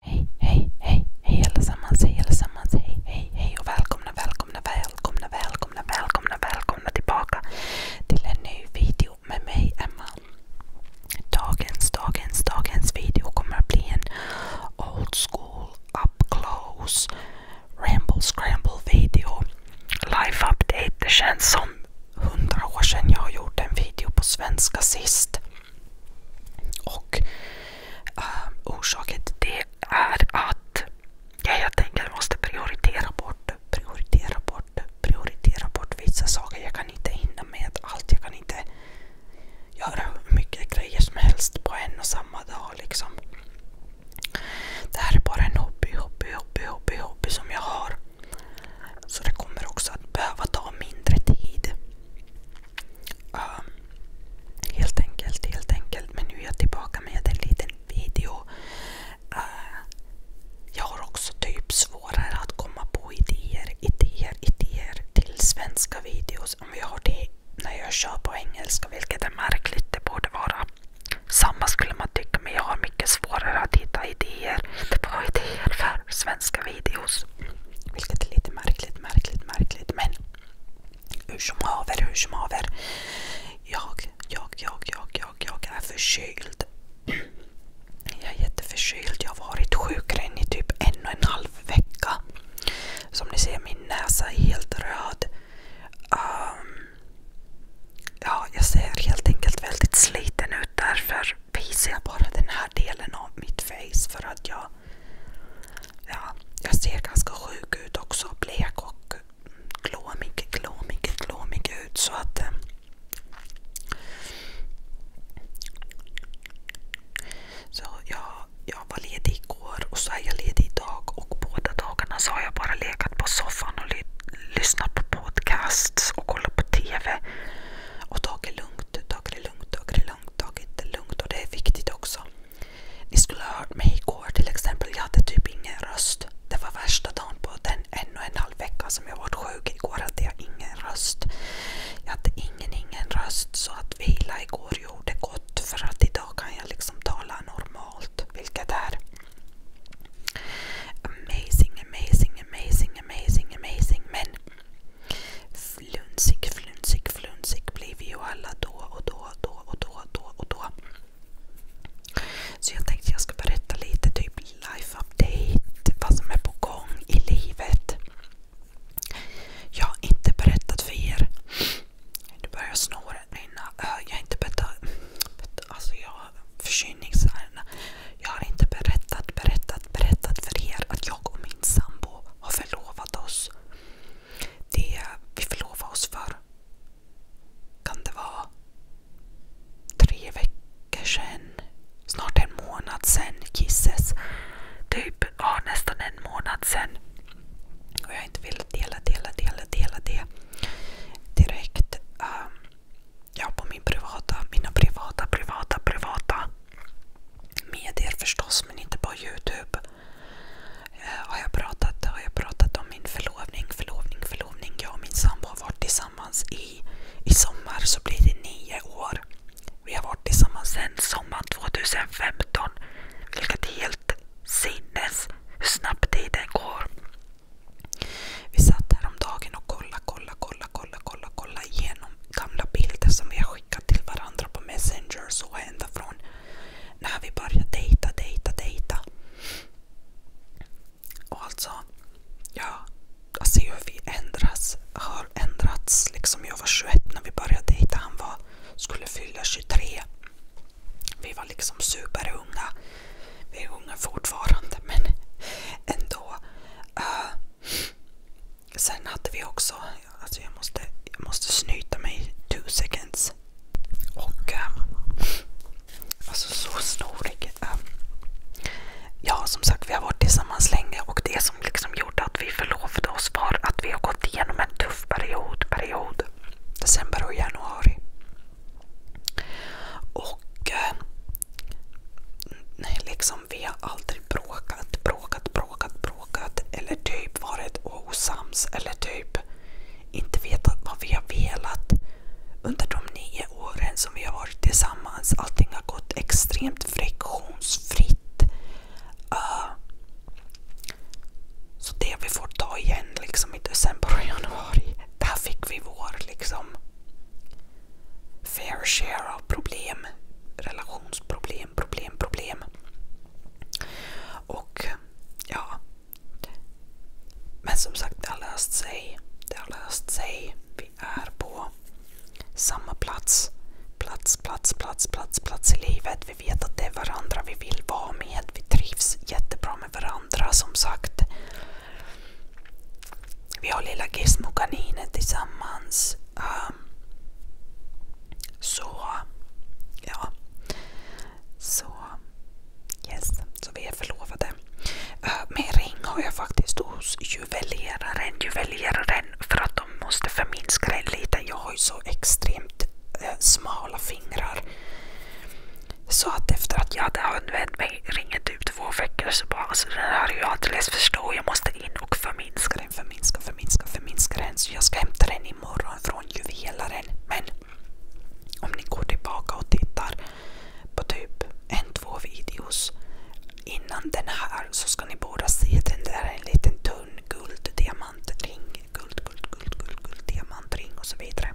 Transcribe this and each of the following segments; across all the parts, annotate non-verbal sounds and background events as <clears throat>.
Hej, hej, hej, allesammans, hej allesammans, hej, hej, hej och välkomna, välkomna, välkomna, välkomna, välkomna, tillbaka till en ny video med mig Emma. Dagens, dagens, dagens video kommer att bli en old school up close ramble scramble video. Life update. Det känns som hundra år sedan jag gjorde en video på svenska sist. Och uh, orsaken till det är att jag helt enkelt måste prioritera bort, prioritera bort, prioritera bort vissa saker. Jag kan inte hinna med allt. Jag kan inte göra hur mycket grejer som helst på en och samma dag. Liksom. Det här är bara en hobby, hobby, hobby, hobby, hobby som jag har. Så det kommer också att behöva ta mindre tid. Ah, helt enkelt, helt enkelt. Men nu är jag tillbaka med en liten video. Ah, jag har också typ svårare att komma på idéer, idéer, idéer till svenska videos. Om jag har det när jag kör på engelska, vilket är märkligt. Det borde vara samma skulle man tycka, men jag har mycket svårare att hitta idéer. Det var idéer för svenska videos. Vilket är lite märkligt, märkligt, märkligt. Men hur som haver, hur som haver. Jag, jag, jag, jag, jag, jag är förkyld. <clears throat> Jag är jätteförkyld. Jag har varit sjukren i typ en och en halv vecka. Som ni ser, min näsa är helt röd. Um, ja, jag ser helt enkelt väldigt sliten ut därför visar jag bara den här delen av mitt face för att jag ja, jag ser ganska sjuk ut också. Blek och glåmig, glåmig, glåmig ut. Så att... Eh, så jag, jag var ledig igår och så är jag ledig idag och båda dagarna så har jag bara legat på soffan och ly lyssnat på podcasts och kollat på TV. Och ta det lugnt, ta det lugnt, ta det lugnt, ta det lugnt. Och det är viktigt också. Ni skulle ha hört mig igår till exempel. Jag hade typ ingen röst. Det var värsta dagen på den en och en halv vecka som jag varit sjuk. Igår hade jag ingen röst. Jag hade ingen, ingen röst. Så att vila igår gjorde gott. För att idag kan jag liksom tala normalt. Vilket är amazing, amazing, amazing, amazing, amazing. Men Flunsig, flunsig, flunsig blir vi ju alla då och då, då och då, då och då. Så jag tänkte jag ska berätta lite typ life update, vad som är på gång i livet. Jag har inte berättat för er. Nu börjar snåren rinna. Jag har inte berättat... Alltså jag har förkylningsärenden. Jag har inte berättat, berättat, berättat för er att jag och min sambo har förlovat oss. Det vi förlovade oss för kan det vara tre veckor sedan, snart en månad sedan, kisses. Typ, ja nästan en månad sedan. Och jag har inte velat dela, dela, dela, dela det direkt. Um, Ja, på min privata, mina privata, privata, privata medier förstås, men inte på Youtube. Eh, har, jag pratat, har jag pratat om min förlovning, förlovning, förlovning. Jag och min sambo har varit tillsammans i, i sommar, så blir det nio år. Vi har varit tillsammans sedan sommaren 2015. Vilket är helt sinnes hur snabbt tiden går. Vi satt häromdagen och kollade, kollade, kollade, kollade, kollade, kollade igenom gamla bilder som vi har skickat till varandra på Messenger så ända från när vi började dejta, dejta, dejta. Och alltså, ja, alltså jag ser hur vi ändras, har ändrats. Liksom jag var 21 när vi började dejta, han var, skulle fylla 23. Vi var liksom superunga. Vi är unga fortfarande men ändå. Uh, sen hade vi också, alltså jag måste, jag måste snyta mig two seconds. Och uh, alltså så snorig. Uh, ja som sagt vi har varit tillsammans länge och det som liksom gjorde att vi förlovade oss var att vi har gått igenom en tuff period. period december och januari. Och eh, liksom, vi har aldrig bråkat, bråkat, bråkat, bråkat. Eller typ varit osams. Eller typ inte vetat vad vi har velat. Under de nio åren som vi har varit tillsammans. Allting har gått extremt friktionsfritt. Uh, så det vi får ta igen liksom i december och januari. Där fick vi vår liksom fair share av problem. Relationsproblem, problem, problem. Och ja. Men som sagt, det har löst sig. Det har löst sig. Vi är på samma plats. Plats, plats, plats, plats, plats i livet. Vi vet att det är varandra vi vill vara med. Vi trivs jättebra med varandra som sagt. Vi har lilla Gizmo-kaninen tillsammans. Um, så, ja. Så, yes. Så vi är förlovade. Uh, ehm, min ring har jag faktiskt hos juveleraren. Juveleraren för att de måste förminska den lite. Jag har ju så extremt uh, smala fingrar. Så att efter att jag hade använt mig ringer du två veckor så bara alltså den här är ju alldeles för stor. Jag måste in och förminska den, förminska, förminska, förminska den. Så jag ska hämta den imorgon från juvelaren. Men om ni går tillbaka och tittar på typ en, två videos innan den här så ska ni båda se den där en liten tunn gulddiamantring. Guld, guld, guld, guld, guld, diamantring och så vidare.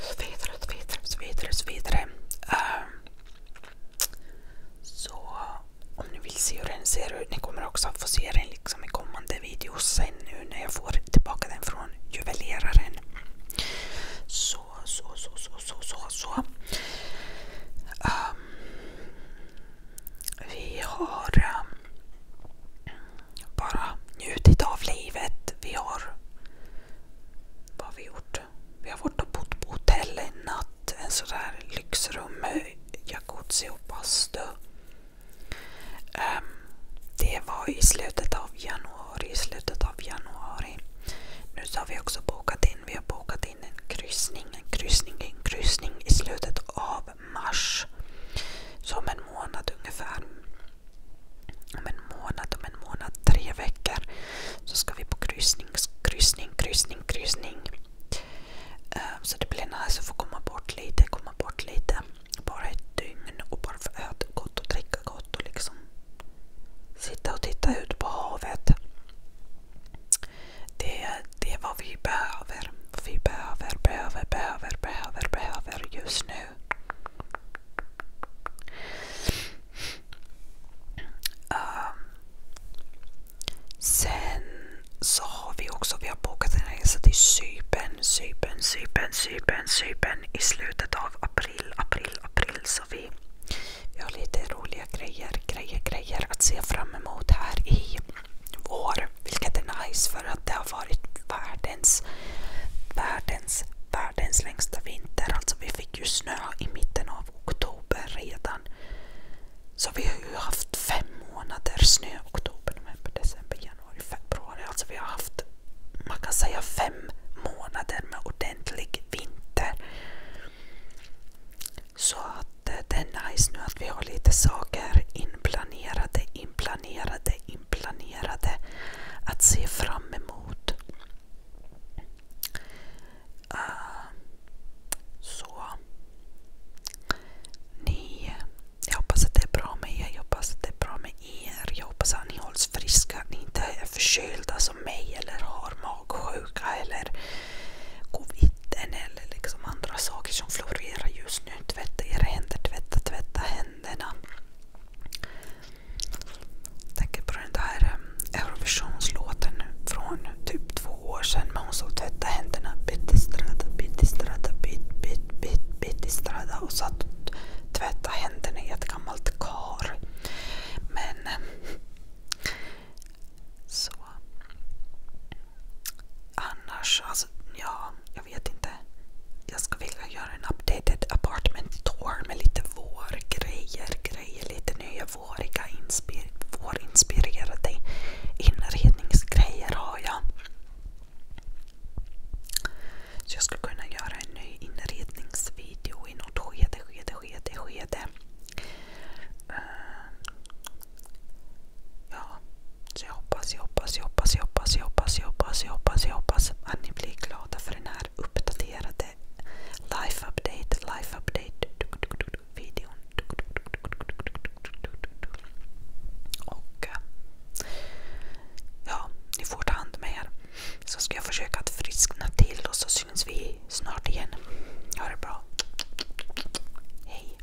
Så vidare, så vidare, så vidare. Så, vidare. Ehm, så om ni vill se hur den ser ut, ni kommer också få se den liksom i kommande videos sen nu när jag får tillbaka den från juveleraren. Så, så, så, så, så, så. så. Ehm, vi har ehm, bara njutit av livet. Vi har... Vad har vi gjort? Vi har varit och bott på hotell en natt. En sådär lyxrum med jacuzzi och bastu. Um, det var i slutet av januari. I slutet av januari. Nu har vi också bokat in. Vi har bokat in en kryssning, en kryssning, en kryssning i slutet av mars. Som en månad ungefär om en månad, om en månad, tre veckor så ska vi på kryssning, kryssning, kryssning, kryssning. Eh, så det blir nice att få komma bort lite, komma bort lite. Bara ett dygn och bara få äta gott och dricka gott och liksom sitta och titta ut på havet. Det, det är vad vi behöver. vi behöver, behöver, behöver, behöver, behöver just nu. Ehm, sen så har vi också vi har bokat en resa till Cypern, Cypern, Cypern, Cypern, Cypern i slutet av april, april, april. Så vi, vi har lite roliga grejer, grejer, grejer att se fram emot här i vår. Vilket är nice för att det har varit världens, världens, världens längsta vinter. Alltså vi fick ju snö i mitten av oktober redan. Så vi har ju haft fem månader snö. Oktober, november, december, januari, februari. Alltså vi har haft, man kan säga fem månader med ordentlig vinter. Så att eh, det är nice nu att vi har lite saker inplanerade inplanerade, inplanerade att se fram emot. Eh, så. Ni, jag hoppas att det är bra med er, jag hoppas att det är bra med er. Jag hoppas att ni hålls friska, att ni inte är förkylda som mig eller har magsjuka eller covid eller liksom andra saker som florerar just nu tvätta era händer, tvätta, tvätta händerna. Jag tänker på den där eh, Eurovisionslåten från typ två år sedan hon som tvättade händerna bit strada, bit strada, bit, bit, bit, strada och satt och händerna i ett gammalt kar. Eh, alltså ja, jag vet inte. Jag skulle vilja göra en updated apartment tour med lite vårgrejer, grejer, lite nya våriga inspir vårinspirerade inredningsgrejer har jag. Så jag skulle kunna göra en ny inredningsvideo i något skede, skede, skede, skede. Eh, Ja, så jag hoppas, jag hoppas, jag hoppas, jag hoppas, jag hoppas, jag hoppas, jag hoppas, jag hoppas att ni blir glada för den här uppdaterade Life Update, Life Update videon. Och eh, ja, ni får ta hand om er. Så ska jag försöka att friskna till och så syns vi snart igen. Ha det bra. Hej.